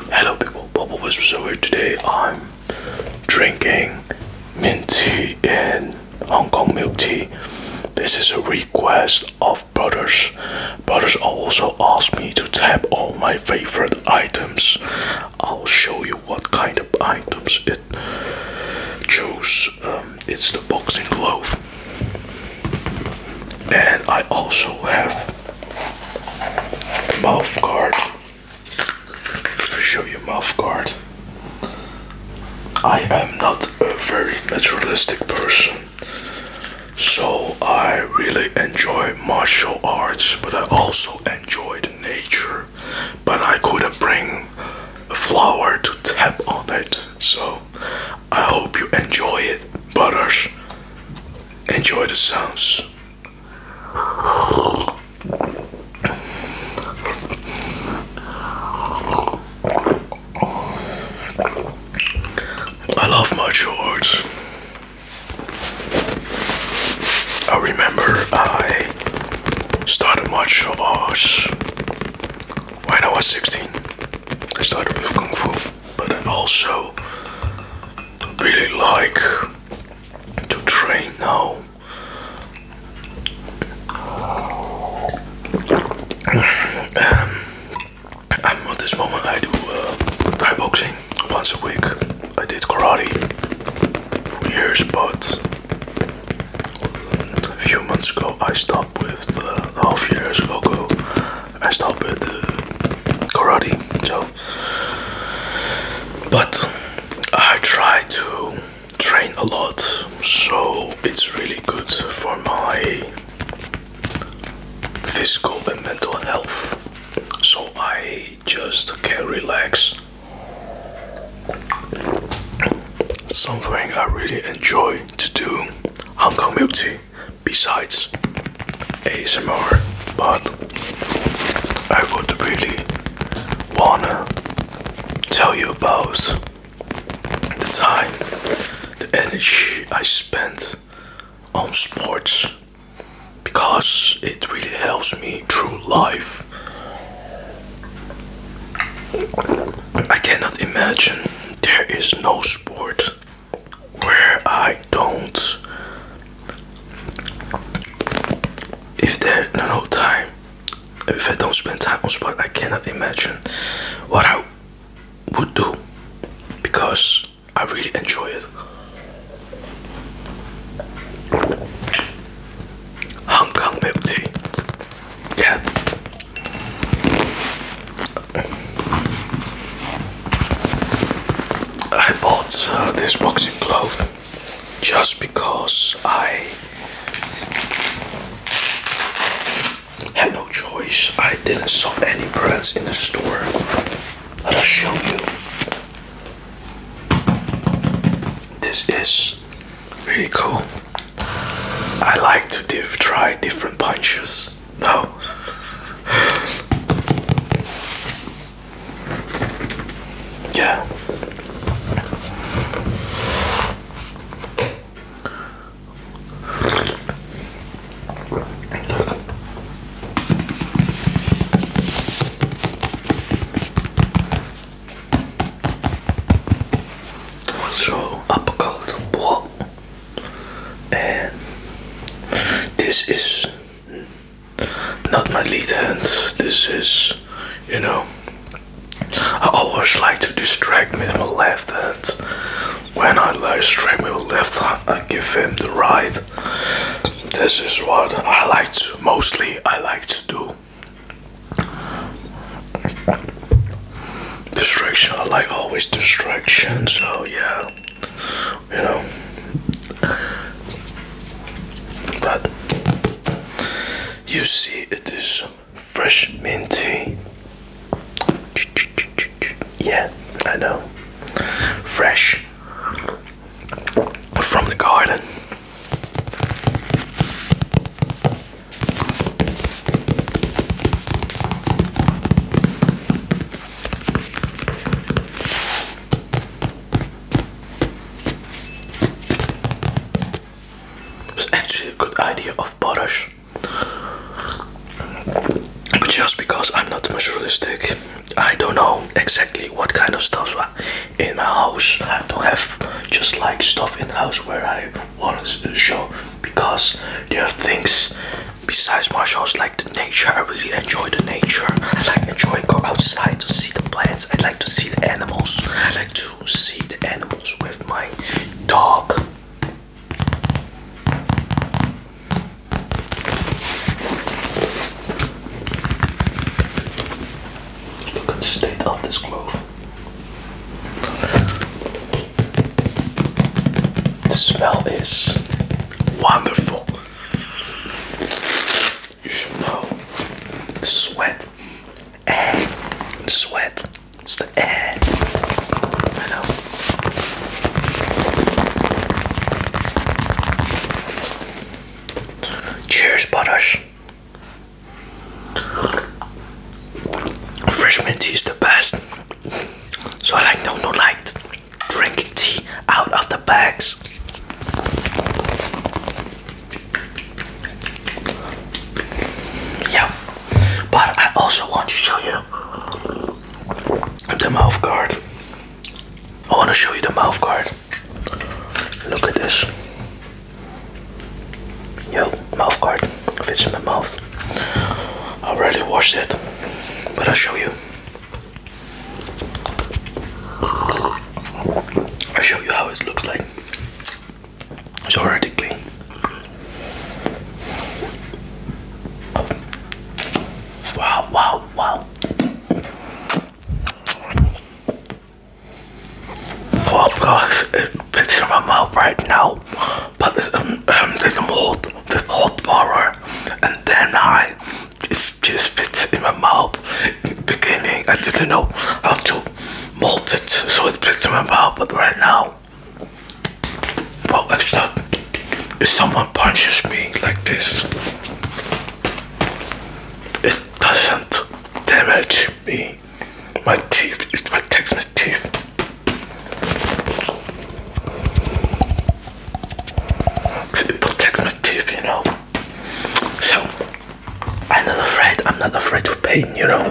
Hello people, Bubble So, here today. I'm drinking mint tea and Hong Kong milk tea. This is a request of brothers. Brothers also asked me to tap all my favorite items. I'll show you what kind of items it chose. Um, it's the boxing glove. And I also have Mouth guard. i show you mouth guard. I am not a very naturalistic person, so I really enjoy martial arts, but I also enjoy the nature. But I couldn't bring a flower to tap on it, so I hope you enjoy it, butters enjoy the sounds. I love my shorts. I remember I started martial arts when I was 16. I started with Kung Fu but I also really like to train now. and um, um, at this moment, I do uh, boxing once a week. I did karate for years, but a few months ago I stopped with uh, half years ago. I stopped at uh, karate. So, but I try to train a lot, so it's really good for my physical and mental health. So I just can relax. Something I really enjoy to do Hong Kong milk besides ASMR, but I would really wanna tell you about the time, the energy I spent on sports because it really helps me through life. I cannot imagine there is no sport where I don't. If there's no time, if I don't spend time on spot, I cannot imagine what I would do because I really enjoy it. Hong Kong milk tea. Yeah. I bought uh, this boxing glove just because I had no choice. I didn't saw any brands in the store. Let i show you. This is really cool. I like to try different punches. No. yeah. So uppercut, what? and this is not my lead hand this is you know I always like to distract with my left hand when I like distract with my left hand I give him the right this is what I like to mostly I like to do Distraction, I like always distraction, so yeah, you know. But you see, it is fresh mint tea. Yeah, I know. Fresh from the garden. It's actually a good idea of potash, just because I'm not materialistic, I don't know exactly what kind of stuff in my house. I don't have just like stuff in the house where I on the uh, show because there are things besides martial arts like the nature. I really enjoy the nature. I like enjoy go outside to see the plants. I like to see the animals. I like to see the animals with my dog. Look at the state of this glove. The smell is wonderful. You should the sweat, air, sweat. It's the air. Cheers, butters. Fresh mint tea is the best. So I like no no like drinking tea out of the bags. Yeah, but I also want to show you the mouth guard. I want to show you the mouth guard. Look at this. Yo, mouth guard fits in the mouth. I already washed it, but I'll show you. i show you how it looks like. It's already clean. Wow, wow, wow. Oh gosh, it fits in my mouth right now, but it's, um, um, there's some hot, there's hot water, and then I it's just fits in my mouth. beginning, I didn't know how to mold it, so it fits in my mouth, but right now, well, it's not. If someone punches me like this, it doesn't damage my teeth, it's my teeth. protects my teeth, you know. So I'm not afraid. I'm not afraid of pain, you know.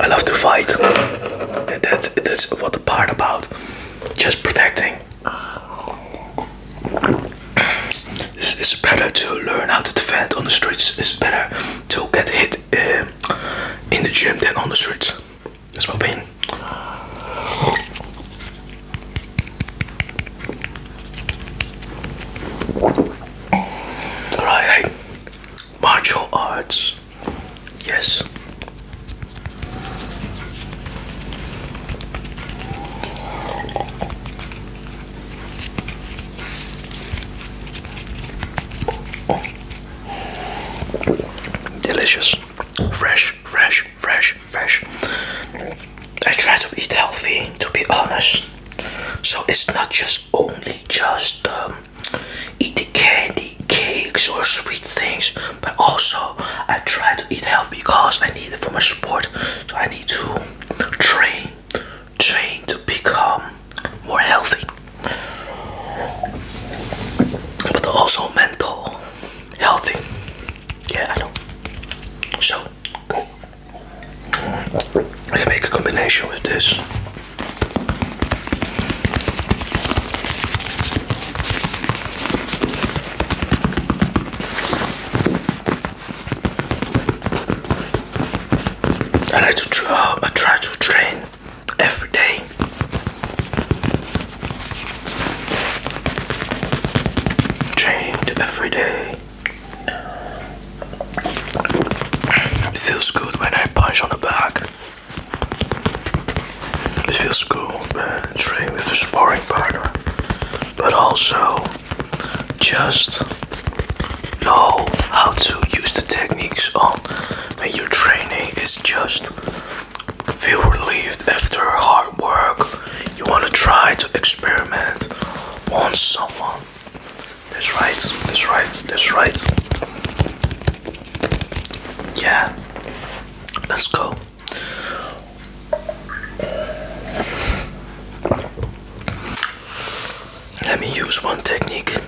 I love to fight, and that's that's what the part about just protecting. It's, better to learn how to defend on the streets. It's better to get hit uh, in the gym than on the streets. That's my opinion. Alright, martial arts. Yes. Delicious, fresh, fresh, fresh, fresh. I try to eat healthy, to be honest. So it's not just only just um, eating candy, cakes, or sweet things, but also I try to eat healthy because I need it for my sport. So I need to train train to become more healthy but also mental healthy yeah I know so I can make a combination with this I like to uh, try to train every day. Trained every day. It feels good when I punch on the back. It feels good when I train with a sparring partner but also just know how to use the techniques on when your training is just feel relieved after hard work. You want to try to experiment on someone. That's right, that's right, that's right. Yeah, let's go. Let me use one technique.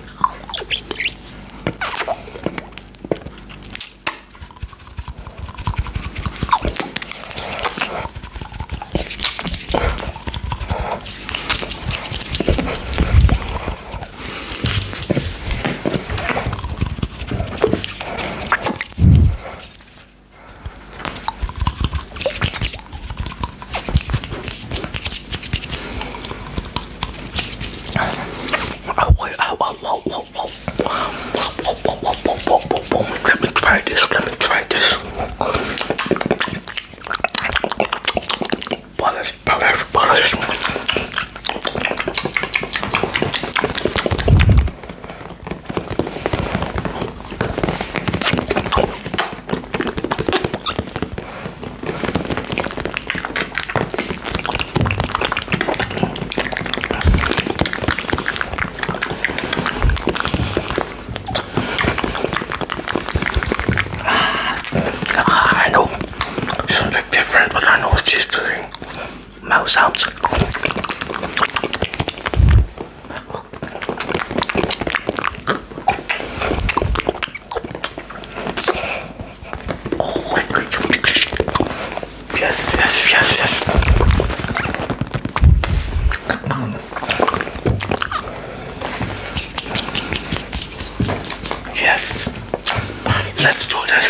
Oh, wait, oh, oh, oh, oh, oh. Let me try this. Let me try this. Butters, butters, butters. Ah, I know something different, but I know what she's doing mouth sounds. yes, yes, yes, yes. Yes, let's do this.